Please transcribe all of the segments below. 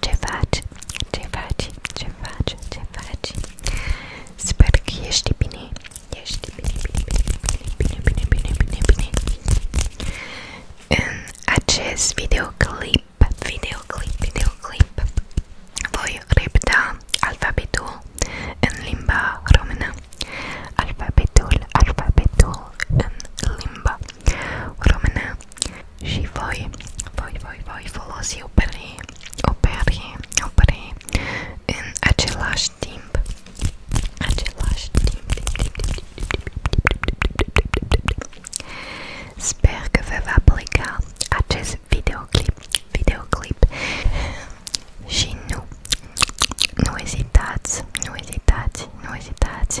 Ce faci? Ce faci? Ce faci? Ce faci? Sper că ești bine. Ești bine, bine, bine, bine, bine, bine, bine, bine. În acest videoclip, videoclip, videoclip, voi repeta alfabetul în limba română. Alfabetul, alfabetul în limba română și voi, voi, voi, voi folosi opere, opere, opere în același timp, același timp, timp, timp, timp, timp, timp, timp, timp. Sper că vă va plăca acest videoclip, videoclip și nu, nu ezitați, nu ezitați, nu ezitați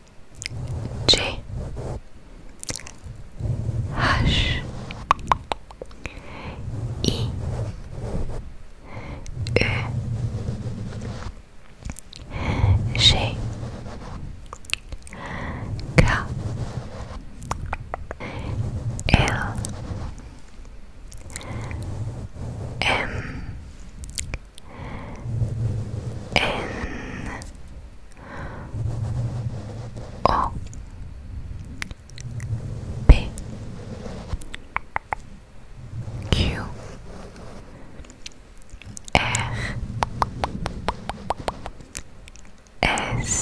J H I Ö J K L M N O P Q R S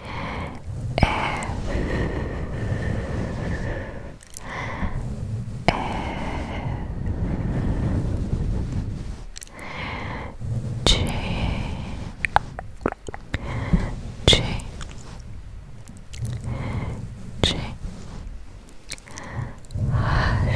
G G G 하쉬 하쉬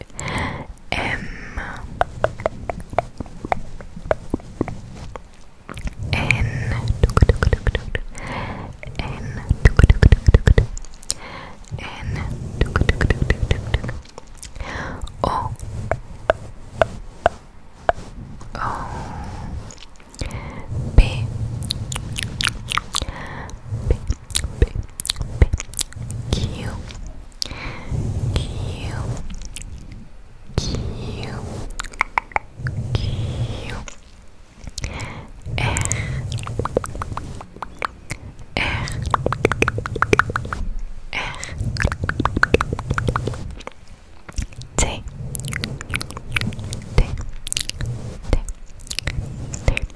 M N N N O O P P B Q Q Q Q R R R T T T T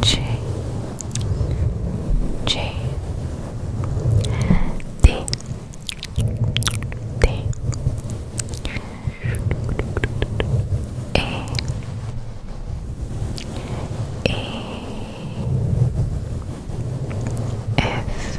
J J D D A A F F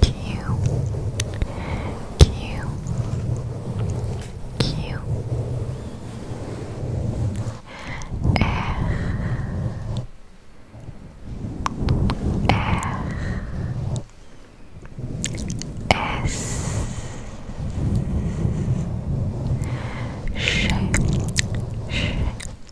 Q Q Q R R S Sh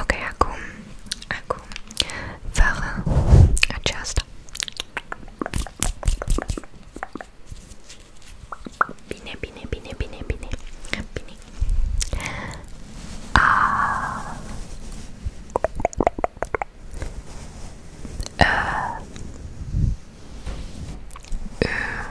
Ok, i acum, fără aceasta. Bine, bine, bine, bine, bine, bine. A. Ah. A. Uh. Uh.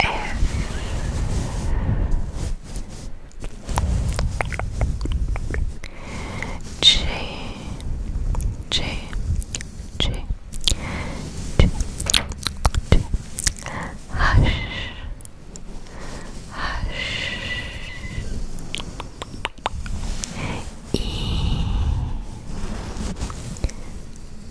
F G G G G G Hush Hush E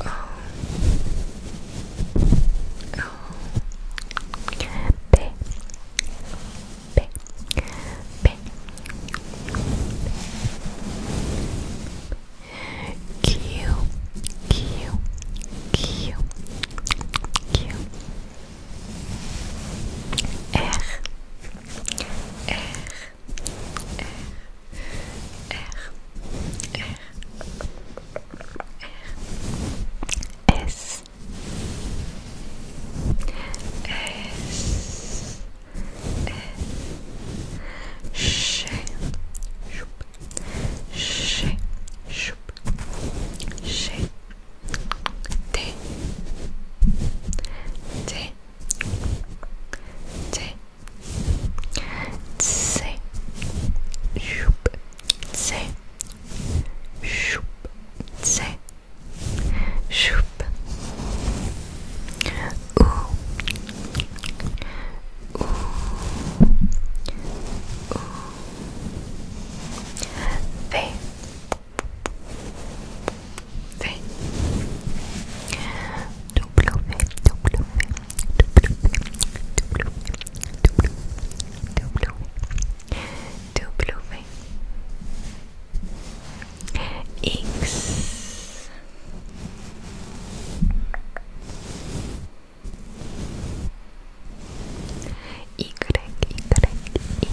어, 어, 배, 배, 배, 귀, 귀, 귀, 귀, R, R, R, R, S, S, S, T, T. T C Shoop C Shoop C Shoop Ooh Ooh Ooh They Vem. Duplo V, duplo V, duplo V, duplo V, duplo V, duplo V. X. Y, Y, Y.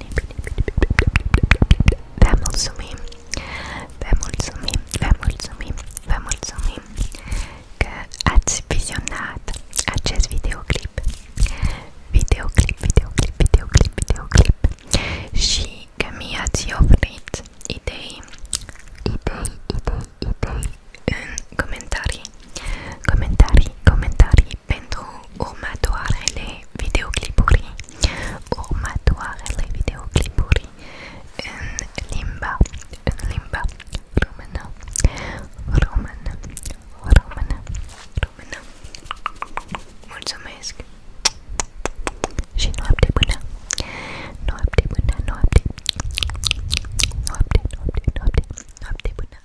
bine, bine, bine, bine. Vă mulțumim, vă mulțumim, vă mulțumim, vă mulțumim că ați vizionat acest videoclip. Videoclip, videoclip, videoclip, videoclip. Și că mi-ați oferit idei, idei, idei, idei în comentarii, comentarii, comentarii pentru următoarele videoclipuri următoarele videoclipuri în limba în limba română română română română mulțumesc și noapte bună noapte bună noapte noapte noapte noapte noapte bună